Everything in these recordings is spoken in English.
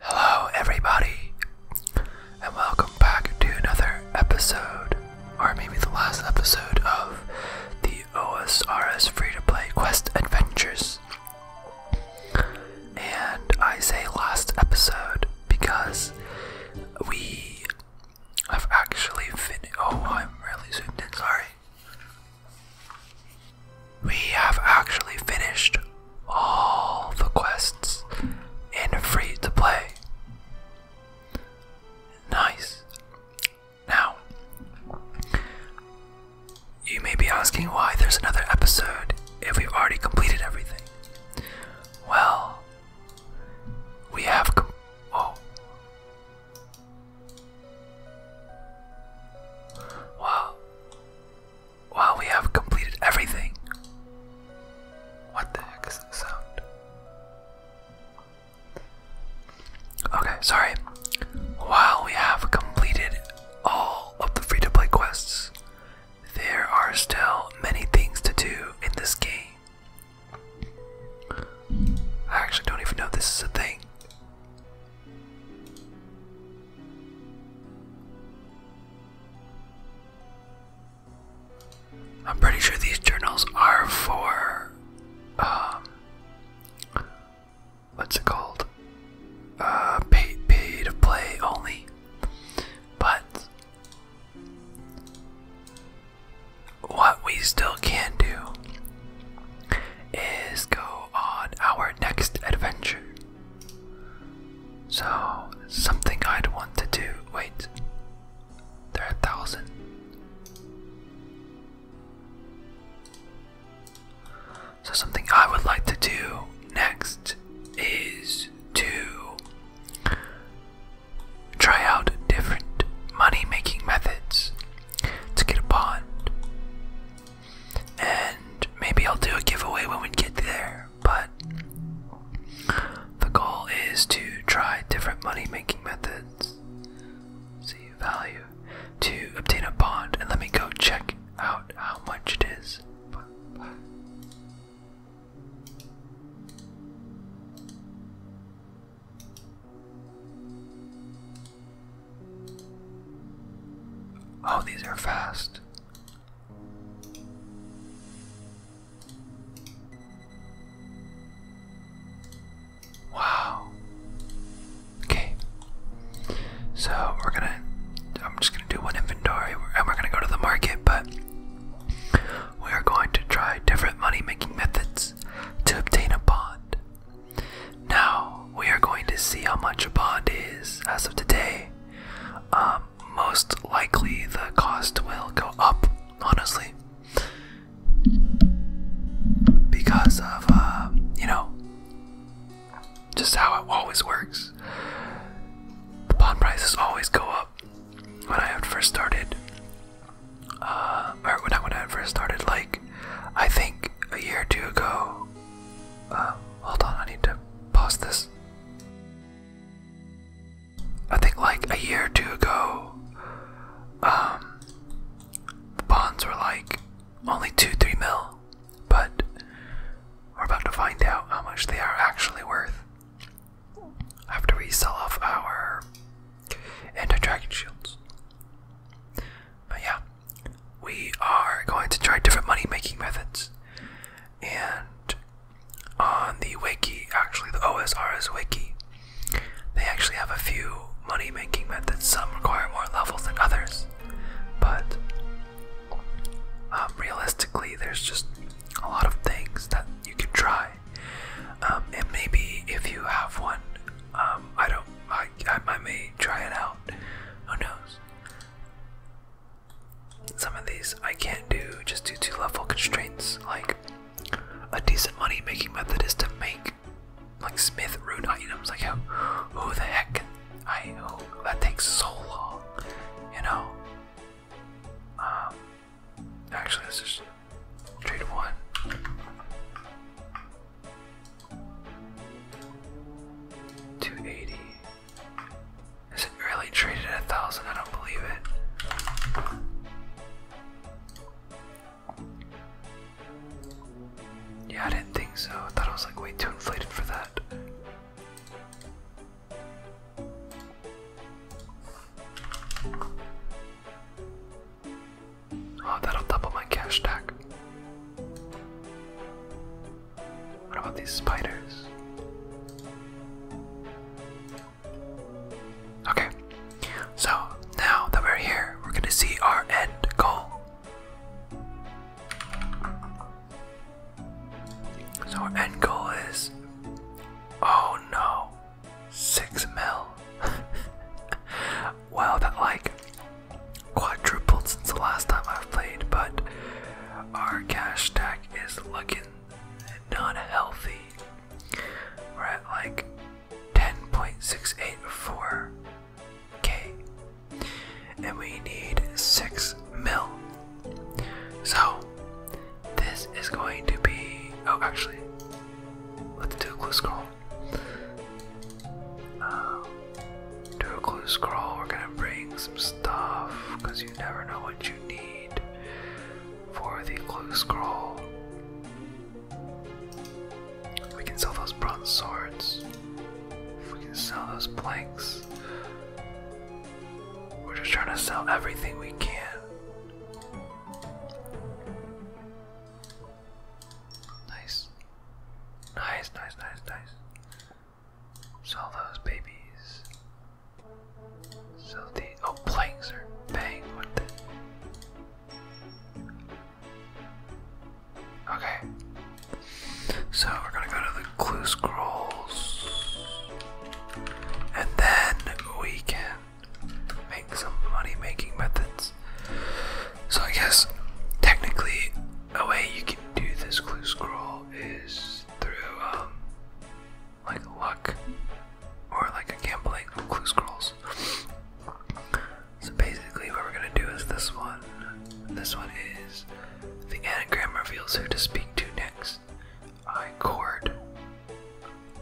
Hello, everybody, and welcome back to another episode, or maybe the last episode of the OSRS free to play quest adventures. And I say last episode because we have actually finished. Oh, I'm really zoomed in, sorry. We have actually finished all the quests and are free to play. Nice. Now, you may be asking why there's another episode if we've already completed everything. Well, we have. Com oh. Wow. While we have completed everything. What the heck is that sound? Okay, sorry. While we have completed all of the free to play quests, there are still many things to do in this game. I actually don't even know this is a thing. I'm pretty sure these journals are for, um, what's it called? Uh, to play only. But what we still can do is go on our next adventure. So, something I'd want to do. Wait, they're a thousand. So, something I would like to do next is to try out different money making methods to get a bond. And maybe I'll do a giveaway when we get there, but the goal is to try different money making methods. See value to obtain a bond and let me go check out how much it is. Oh, these are fast. Wow. Okay. So we're gonna. I'm just gonna do one inventory, and we're gonna go to the market, but we are going to try different money-making methods to obtain a bond. Now we are going to see how much a bond is as of today. Um, most likely the cost will go up, honestly, because of, uh, you know, just how it always works. The bond prices always go up. When I first started, uh, or when I, when I first started, like, I think a year or two ago, um, Hold on, I need to pause this. I think like a year or two ago, um, the bonds were like only two, three mil, but we're about to find out how much they are actually worth after we sell off our anti-dragon shields. But yeah, we are going to try different money making methods. And on the wiki, actually, the OSR is wiki, they actually have a few money making methods. Some require more levels than others, but um, realistically, there's just a lot of things that you can try. Um, and maybe if you have one, um, I don't, I, I may try it out. Who knows? some of these I can't do just due to level constraints. Like, a decent money making method is to make like smith rune items. Like, how, who the heck? I oh, that takes so long, you know. Um, actually, let's just trade one. Two eighty. Is it really traded at a thousand? I don't believe it. Yeah, I didn't think so. I thought it was like way too inflated for that. Oh, that'll double my cash stack. What about these spiders? Okay, so now that we're here, we're gonna see our end goal. So our end goal is, oh no, six mil. wow, that like quadrupled since the last time I've played, but our cash stack is looking not healthy. We're at like 10.684k. And we need 6 mil. So, this is going to be. Oh, actually, let's do a close call do a clue scroll. We're gonna bring some stuff because you never know what you need for the clue scroll. We can sell those bronze swords. We can sell those planks. We're just trying to sell everything we can. Nice. Nice, nice, nice, nice. So those babies. So the oh planes are bang with it. Okay. So we're gonna go to the clue scrolls. And then we can make some money making methods. So I guess technically a way you can do this clue scroll is is through um, like luck or like a gambling clue scrolls. So basically, what we're gonna do is this one. This one is the anagram reveals who to speak to next. I chord.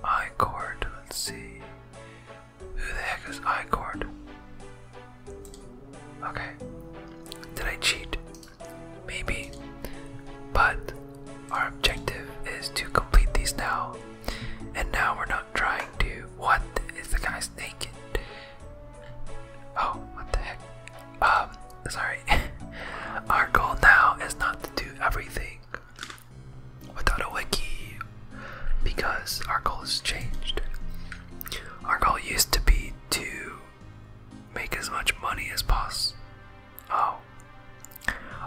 I chord. Let's see. Who the heck is I chord? Okay. Did I cheat? Maybe. But our objective is to complete these now. And now we're not trying to. What is the guy's naked? Oh, what the heck? Um, sorry. our goal now is not to do everything without a wiki because our goal has changed. Our goal used to be to make as much money as possible. Oh,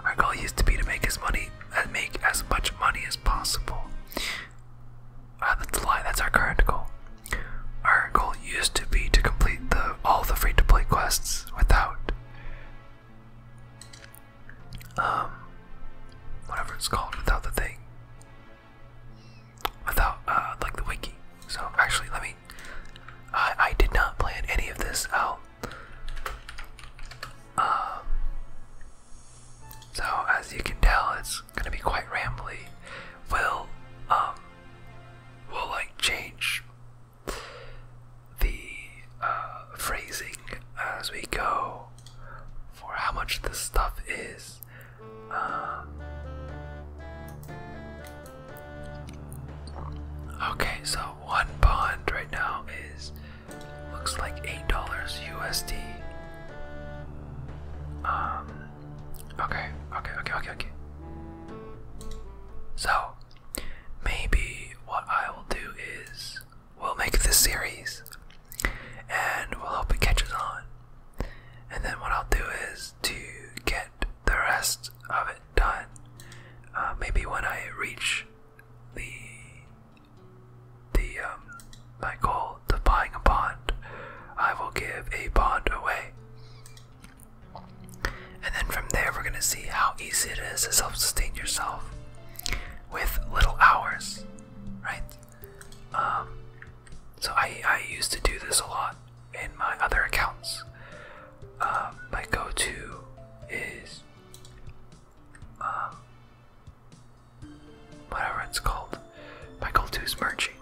our goal used to be to make as money, and uh, make as much money as possible. Uh, that's a lie. That's our current goal. Our goal used to be to complete all the free-to-play quests without, um, whatever it's called, without the thing without uh, like the wiki. So actually, let me. I did not plan any of this out. Um, so as you can tell, it's gonna be quite rambling. We'll um. We'll like change the uh, phrasing as we go for how much this stuff is. Um, Okay, so one bond right now is looks like eight dollars USD. Um okay, okay, okay, okay, okay. So maybe what I will do is we'll make this series and we'll hope it catches on. And then what I'll do is to get the rest of it done. Uh, maybe when I reach the the um, my goal of buying a bond, I will give a bond away. And then from there, we're gonna see how easy it is to self-sustain yourself with little hours, right? Um, so I I used to do this a lot in my other accounts. Uh, my go-to is um, whatever it's called. My go-to is merging.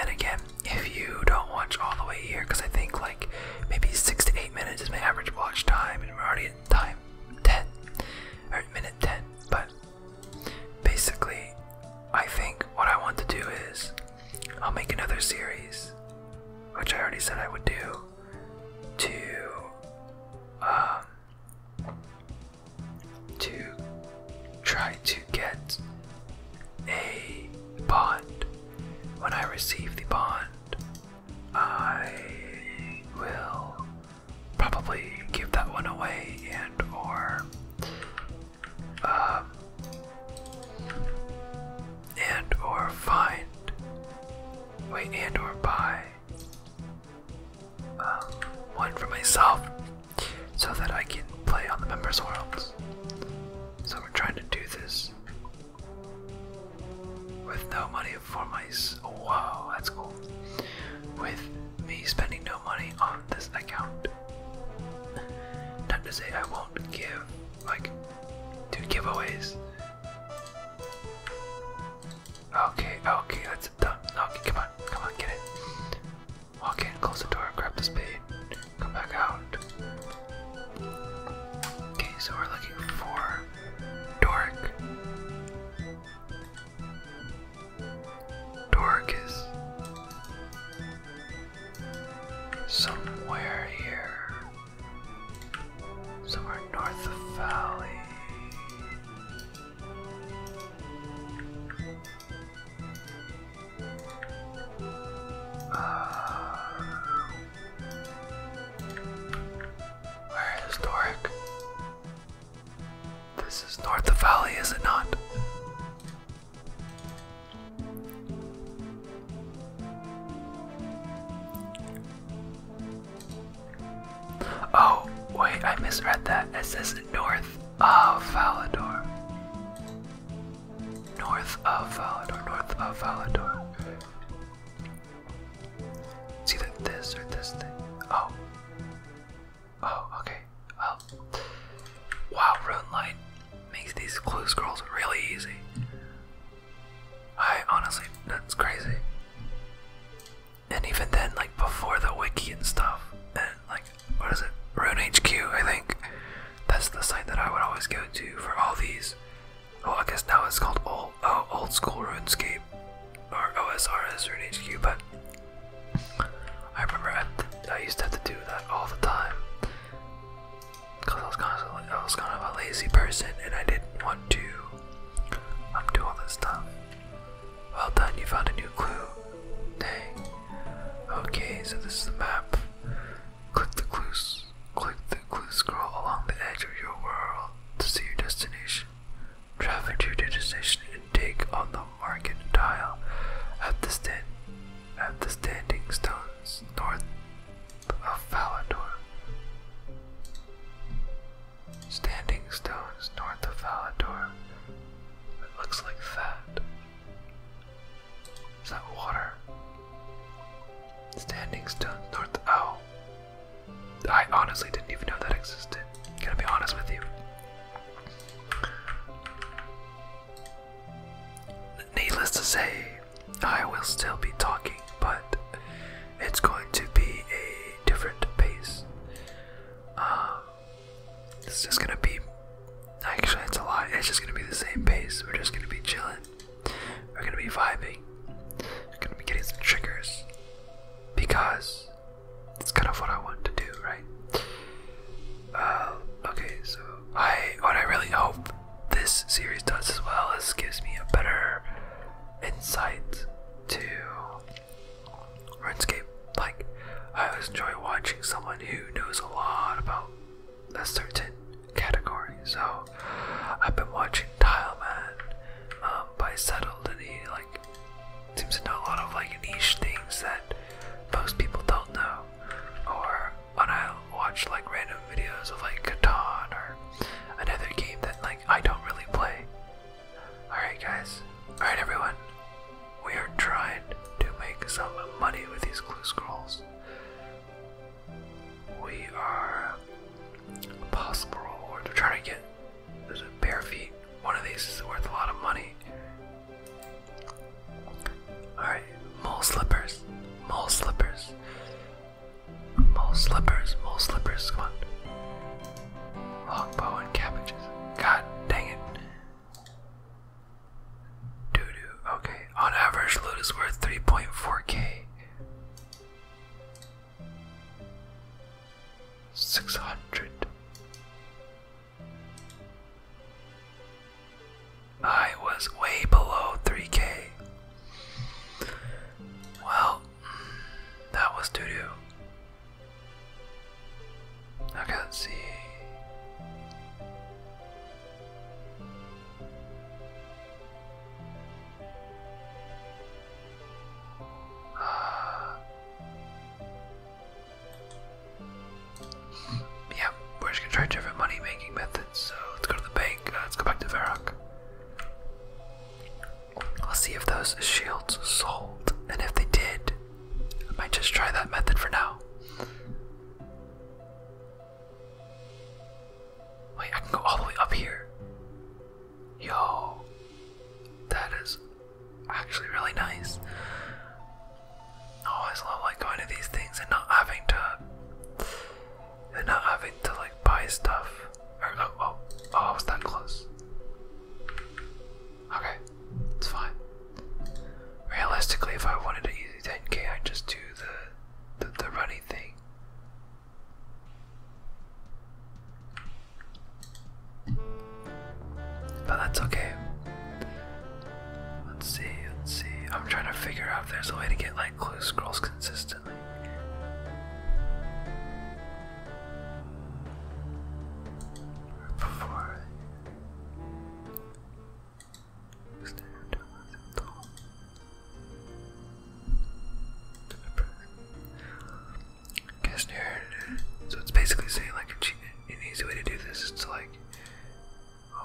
and again, if you don't watch all the way here, because I think like maybe six to eight minutes is my average watch time, and we're already at time ten or minute ten, but Basically, I think what I want to do is I'll make another series, which I already said I would do, to um, to try to get a bond. When I receive the bond, I will probably give that one away and or um, and or find, wait, and or buy um, one for myself so that I can play on the members' worlds. So we're trying to do this with no money for my. Wow, that's cool. With me spending no money on on this account. Not to say I won't give, like, do giveaways. Okay, okay, that's it done. Okay, come on, come on, get it. Walk in, close the door, grab the spade, come back out. Okay, so we're looking for Doric. Doric is somewhere here, somewhere north of the Valley. Ah. where is Doric? This is north of the Valley, is it not? Oh, wait, I misread that. It says north of Valador. North of Valador, north of Valador. It's either this or this thing. Oh. Oh, okay. Okay. Well. Wow, Rune makes these clue scrolls really easy. I honestly, that's crazy. And even then, like before the wiki and stuff, and like, what is it? Rune I think. That's the site that I would always go to for all these. Oh, I guess now it's called old, oh, old school RuneScape or OSRS Rune but I remember I, I used to have to do that all the time. Cause I was kind of a lazy person, and I didn't want to um, do all this stuff. Well done, you found a new clue. Dang. Okay, so this is the map. Click the clues. Click the clue scroll along the edge of your world to see your destination. Travel to your destination and take on the market tile at the stand at the standing stones north of Valador. Standing stones north of Valador. It looks like that. Is that water? Standing stones north. Oh. I honestly didn't even know that existed. Gonna be honest with you. Needless to say, I will still be talking, but it's going to be a different pace. Um, it's just gonna be. Actually, it's a lot. It's just gonna be the same pace. We're just gonna be chilling. We're gonna be vibing. We're gonna be getting some triggers because that's kind of what I want to do, right? Uh, okay, so I what I really hope this series does as well is gives me a better insight to RuneScape. Like I always enjoy watching someone who knows a lot about a certain category. So I've been watching Tileman um, by Settled, and he like seems to know a lot of like niche things that most people don't know, or and i watch like random videos of like Catan or another game that like I don't really play. Alright guys. Alright everyone. We are trying to make some money with these clue scrolls. We are possible reward. We're trying to get bare feet. One of these is worth a lot of money. Alright, mole slippers, mole slippers, mole slippers, mole slippers, come on. Longbow and cabbages. God dang it. Doo doo. Okay. On average, loot is worth 3.4k. 600. I was way below 3k. Well, that was doo doo. Okay, let's see. Yeah, we're just gonna try different money making methods. So let's go to the bank. Uh, let's go back to Varrock. I'll see if those shields sold, and if they did, I might just try that method for now. Wait, I can go all the way up here. Yo, that is actually really nice. I always love like going to these things and not having to and not having to like buy stuff. Or oh oh oh I was that close. Okay, it's fine. Realistically if I wanted to easy 10k I'd just do the the, the thing. But that's okay. Let's see, let's see. I'm trying to figure out if there's a way to get like clue scrolls consistently. Before Guess near. So it's basically saying like a cheat. An easy way to do this It's like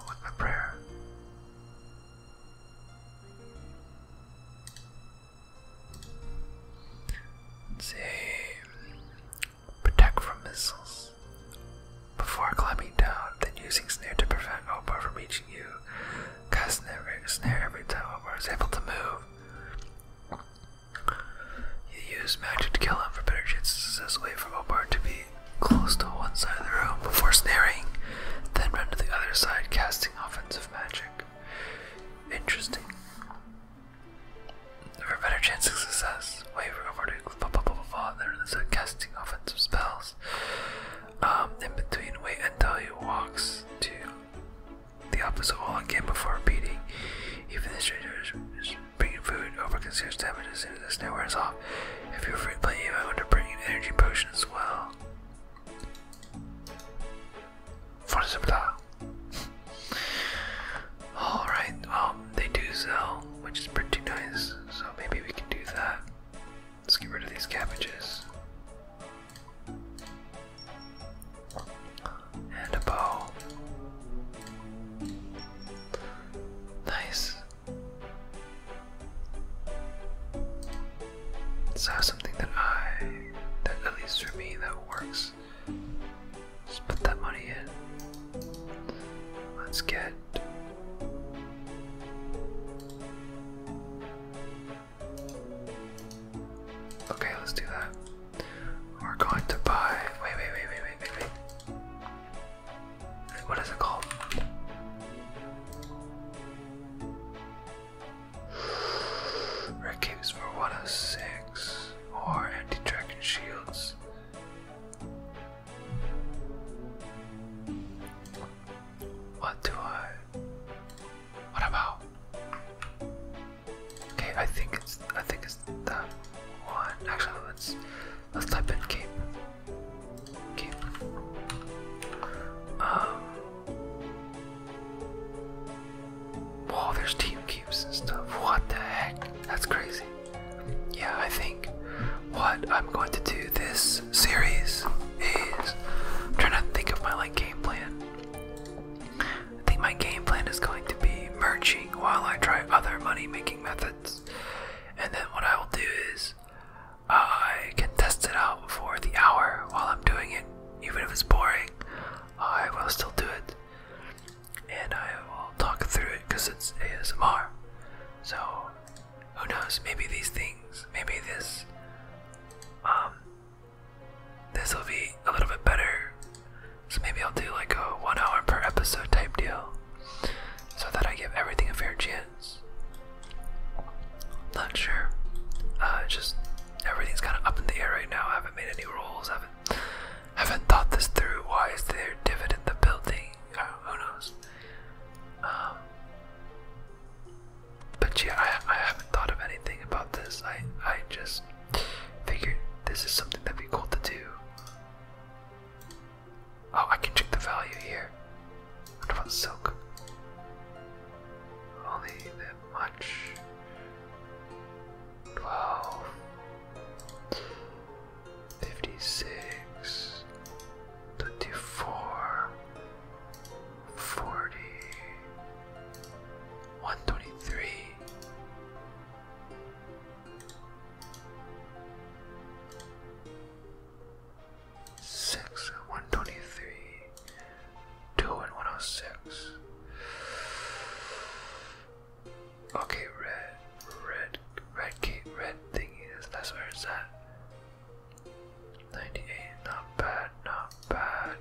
with my prayer. let Protect from missiles. Before climbing down, then using snare to prevent Opar from reaching you. Cast snare, snare every time Opar is able to move. You use magic to kill him for better chances this a way for Opar to be close to one side of the room before sneering, then run to the other side, casting offensive magic. Interesting. For a better chance of success, wait for over to blah blah blah blah, blah then start uh, casting offensive spells. Um, in between, wait until he walks to the opposite wall again before repeating. Even the stranger is bringing food over considers damage as soon as the sneer wears off. If you're free I want to bring an energy potion as well. Alright, well, um, they do sell, which is pretty nice, so maybe we can do that. Let's get rid of these cabbages. And a bow. Nice. So something that I, that at least for me, that works. Just put that money in. Let's get. Okay, let's do that. We're going to buy. Wait, wait, wait, wait, wait, wait, wait. What is it called? Red for 106 or anti-dragon shields. What do I? What about? Okay, I think it's I think it's that one. Actually, let's Let's type in game. Um, Cape. there's team cubes and stuff. What the heck? That's crazy. Yeah, I think what I'm going to do this series is I'm trying to think of my like game plan. I think my game plan is going to be merging while I try other money making methods. And then what I will do is I can test it out for the hour while I'm doing it. Even if it's boring, I will still do it. And I will talk through it because it's ASMR. So, who knows? Maybe these things, maybe this, um, this will be a little bit better. So maybe I'll do like a one hour per episode type deal so that I give everything a fair chance. Not sure. Uh, just everything's kind of up in the air right now. I haven't made any rules. haven't haven't thought this through. Why is there divot in the building? who knows? Um, but yeah, I, I haven't thought of anything about this. I I just figured this is something that'd be cool to do. Oh, I can check the value here. What about silk? Only that much. Twelve. Fifty-six. Twenty-four six, one twenty three, two and one oh six. Okay, red, red, red gate, red thingy. That's where it's at. Ninety eight, not bad, not bad.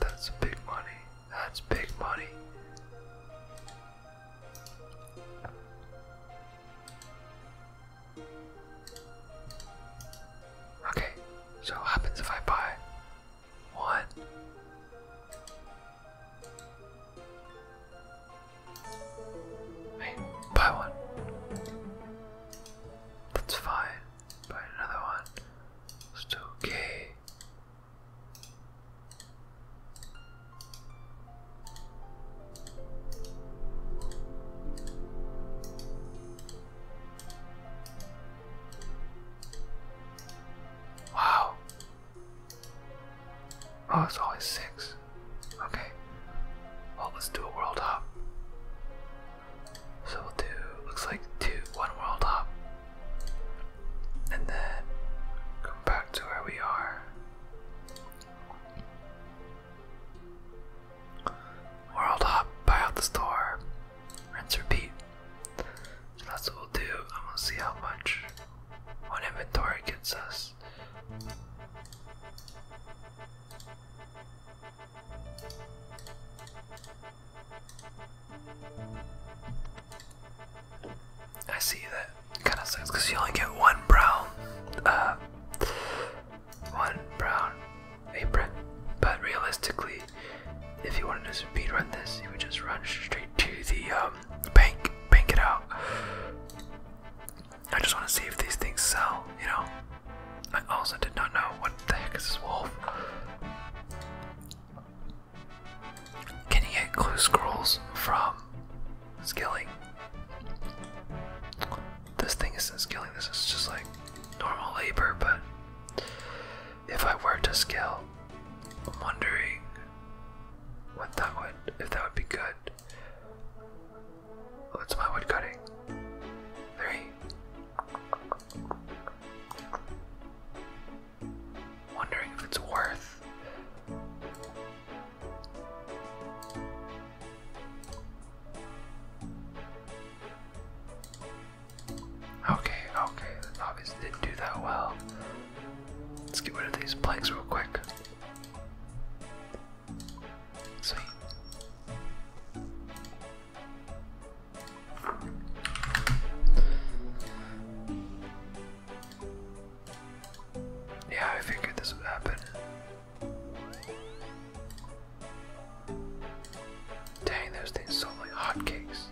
That's big money. That's big money. Okay, so what happens if I buy one? I buy one. That's fine. Buy another one. It's okay. Wow. Oh, it's always six. Okay. Well, let's do a world hop. So we'll do looks like two one world up. And then come back to where we are. World hop, buy out the store, rinse repeat. So that's what we'll do. I'm gonna see how much one inventory gets us. I see that kind of sucks because you only get one brown, uh, one brown apron. But realistically, if you wanted to speed run this, you would just run straight to the um, bank, bank it out. I just want to see if these things sell, you know. I also did not know what the heck is this wolf. Can you get clue scrolls from scaling? This thing isn't skilling, this is just like normal labor, but if I were to scale, I'm wondering what that would if that would be good. What's my wood Three. Wondering if it's worth. Okay, okay, that obviously didn't do that well. Let's get rid of these planks real quick. Sweet. Yeah, I figured this would happen. Dang, those things sold like hotcakes.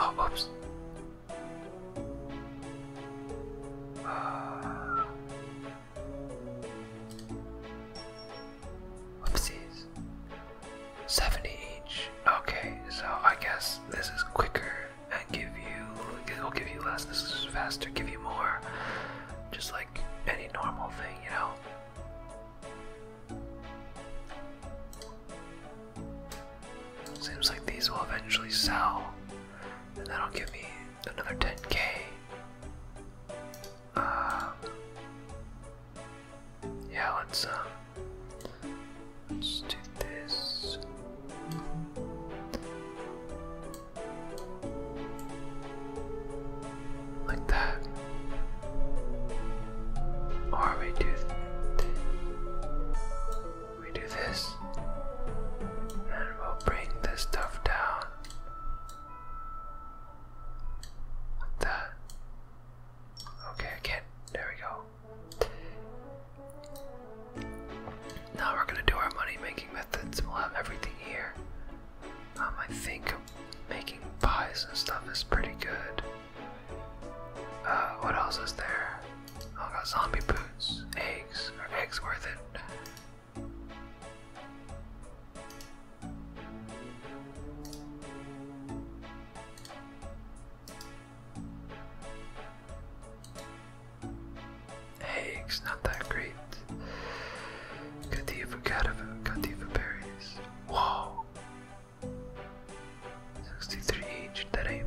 Oh, whoops. Uh, 70 each. Okay, so I guess this is quicker and give you it'll give you less. This is faster, give you more. Just like any normal thing, you know. Seems like these will eventually sell, and that'll give me another 10k. Uh, yeah, let's um, let's do this. Like that. Or we do we do this. And we'll bring this stuff down. What the? Okay, I There we go. Now we're gonna do our money making methods. We'll have everything here. Um, I think making pies and stuff is pretty good. Uh, what else is there? Oh, I got zombie boots, eggs. Are eggs worth it? Eggs, not that great. Cadiva, Cadiva, Cadiva berries. Whoa! 63 each, that ain't.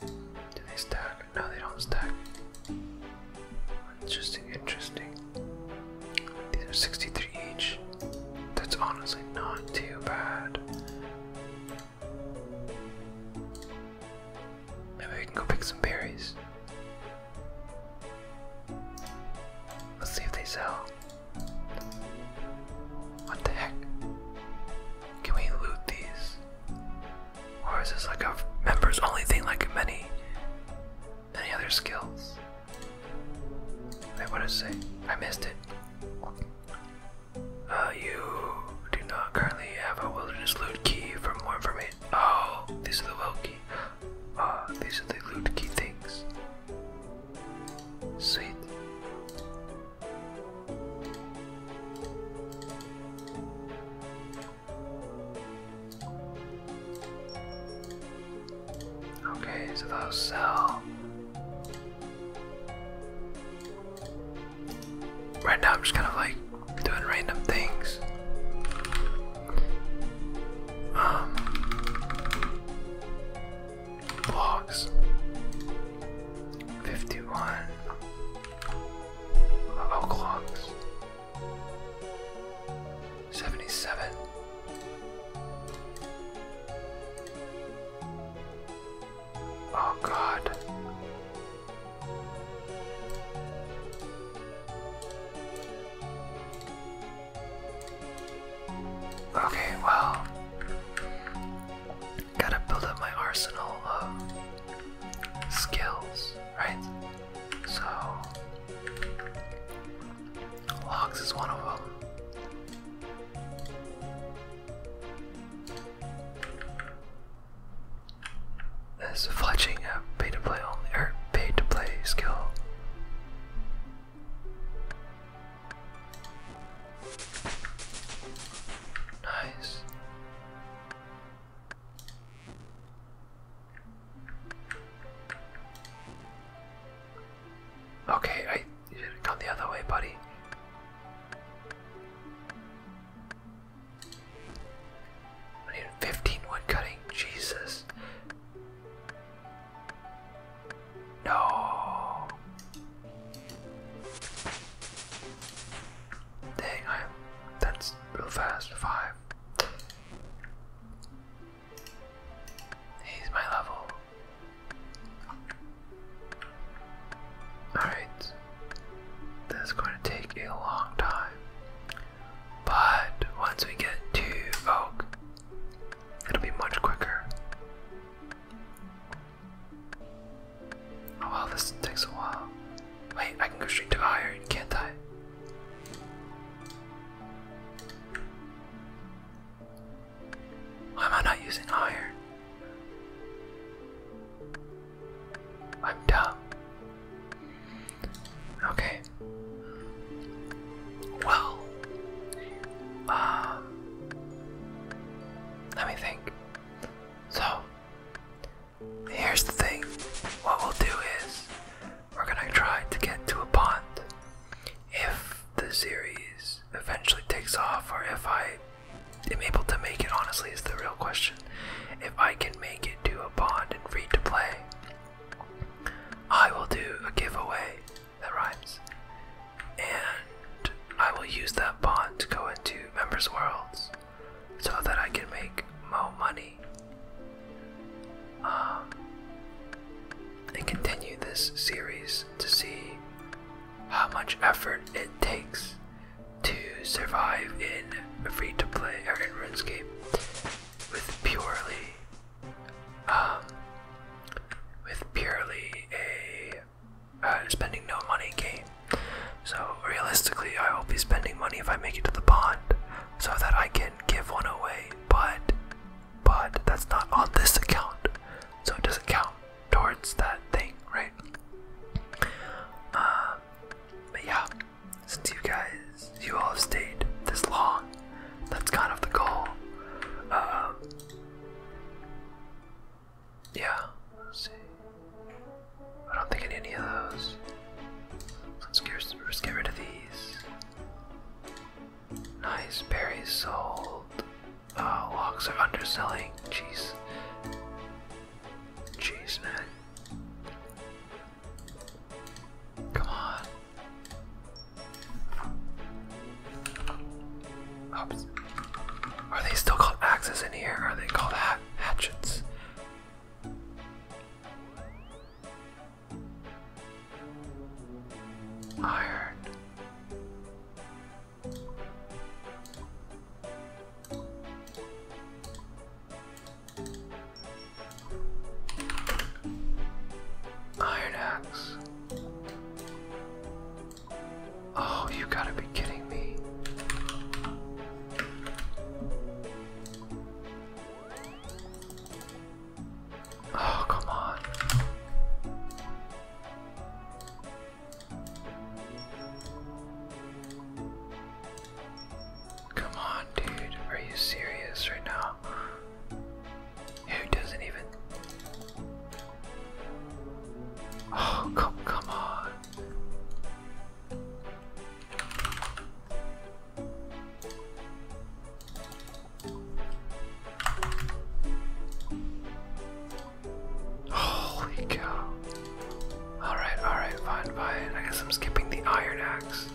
Do they stack? No, they don't stack. Interesting, interesting. These are 63 each. That's honestly not too bad. Maybe we can go pick some berries. Let's see if they sell. What the heck? Can we loot these? Or is this like a members only thing like many any other skills? I want to say? I missed it. Uh, you do not currently have a wilderness loot key for more information. Oh, these are the well key. Uh, these are the loot key things. Sweet. Okay, so those sell. Right now I'm just kind of like doing random things. Um 51 oh clocks. Seventy-seven. Oh God. Okay, well, gotta build up my arsenal of skills, right? So Logs is one of them. Is fletching a pay to play or er, paid to play skill? Nice. Okay, I should have gone the other way, buddy. 15 wood cutting, Jesus. No. Dang, I that's real fast. Five. He's my level. Alright. This going to take a long time. But once we get to oak, it'll be much quicker. Oh well, this takes a while. Wait, I can go straight to iron, can't I? Why am I not using iron? I'm dumb. Okay. Well, um, let me think. So, here's the thing. What we'll do is we're gonna try to get to a pond. If the series eventually takes off, or if I am able to make it, honestly, is the real question. If I can make it to a pond and free to play, I will do a giveaway that rhymes, and I will use that pond to go into Members Worlds so that I can make more money and um, continue this series to see how much effort it takes to survive in free to play or in RuneScape with purely um, with purely a uh, spending no money game. So realistically, I will be spending money if I make it to the pond so that I can give one away, but but that's not on this account, so it doesn't count towards that thing, right? Uh, but yeah, since you guys, you all have stayed this long, that's kind of the goal. Um, yeah, let I don't think any of those. let's get rid of these. Nice, berries sold. Uh, logs are underselling. Jeez. Jeez, man. Come on. Oops. Are they still called axes in here? Are they called hatchets? Iron. Iron axe. Oh, you gotta be kidding me. Oh, come on. Come on, dude. Are you serious right now? Who doesn't even. Oh, come, come on. Holy cow. Alright, alright, fine, fine. I guess I'm skipping the iron axe.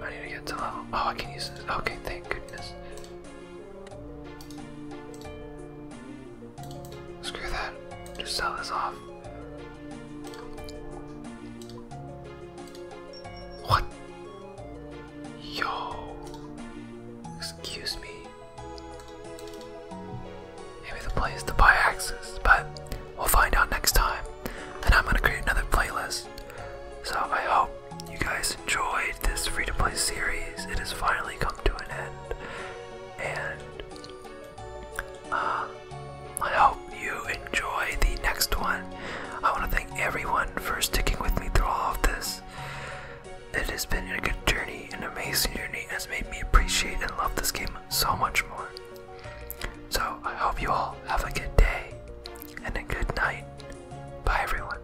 I need to get to level. Oh, I can use this. Okay, thank goodness. Screw that. Just sell this off. What? Yo. Excuse me. Maybe the play is to buy axes, but we'll find out next time. And I'm gonna create another playlist. So I hope you guys enjoyed this free to play series. It has finally come to an end. And uh, I hope you enjoy the next one. I want to thank everyone for sticking with me through all of this. It has been a good journey, an amazing journey, has made me appreciate and love this game so much more. So, I hope you all have a good day and a good night. Bye, everyone.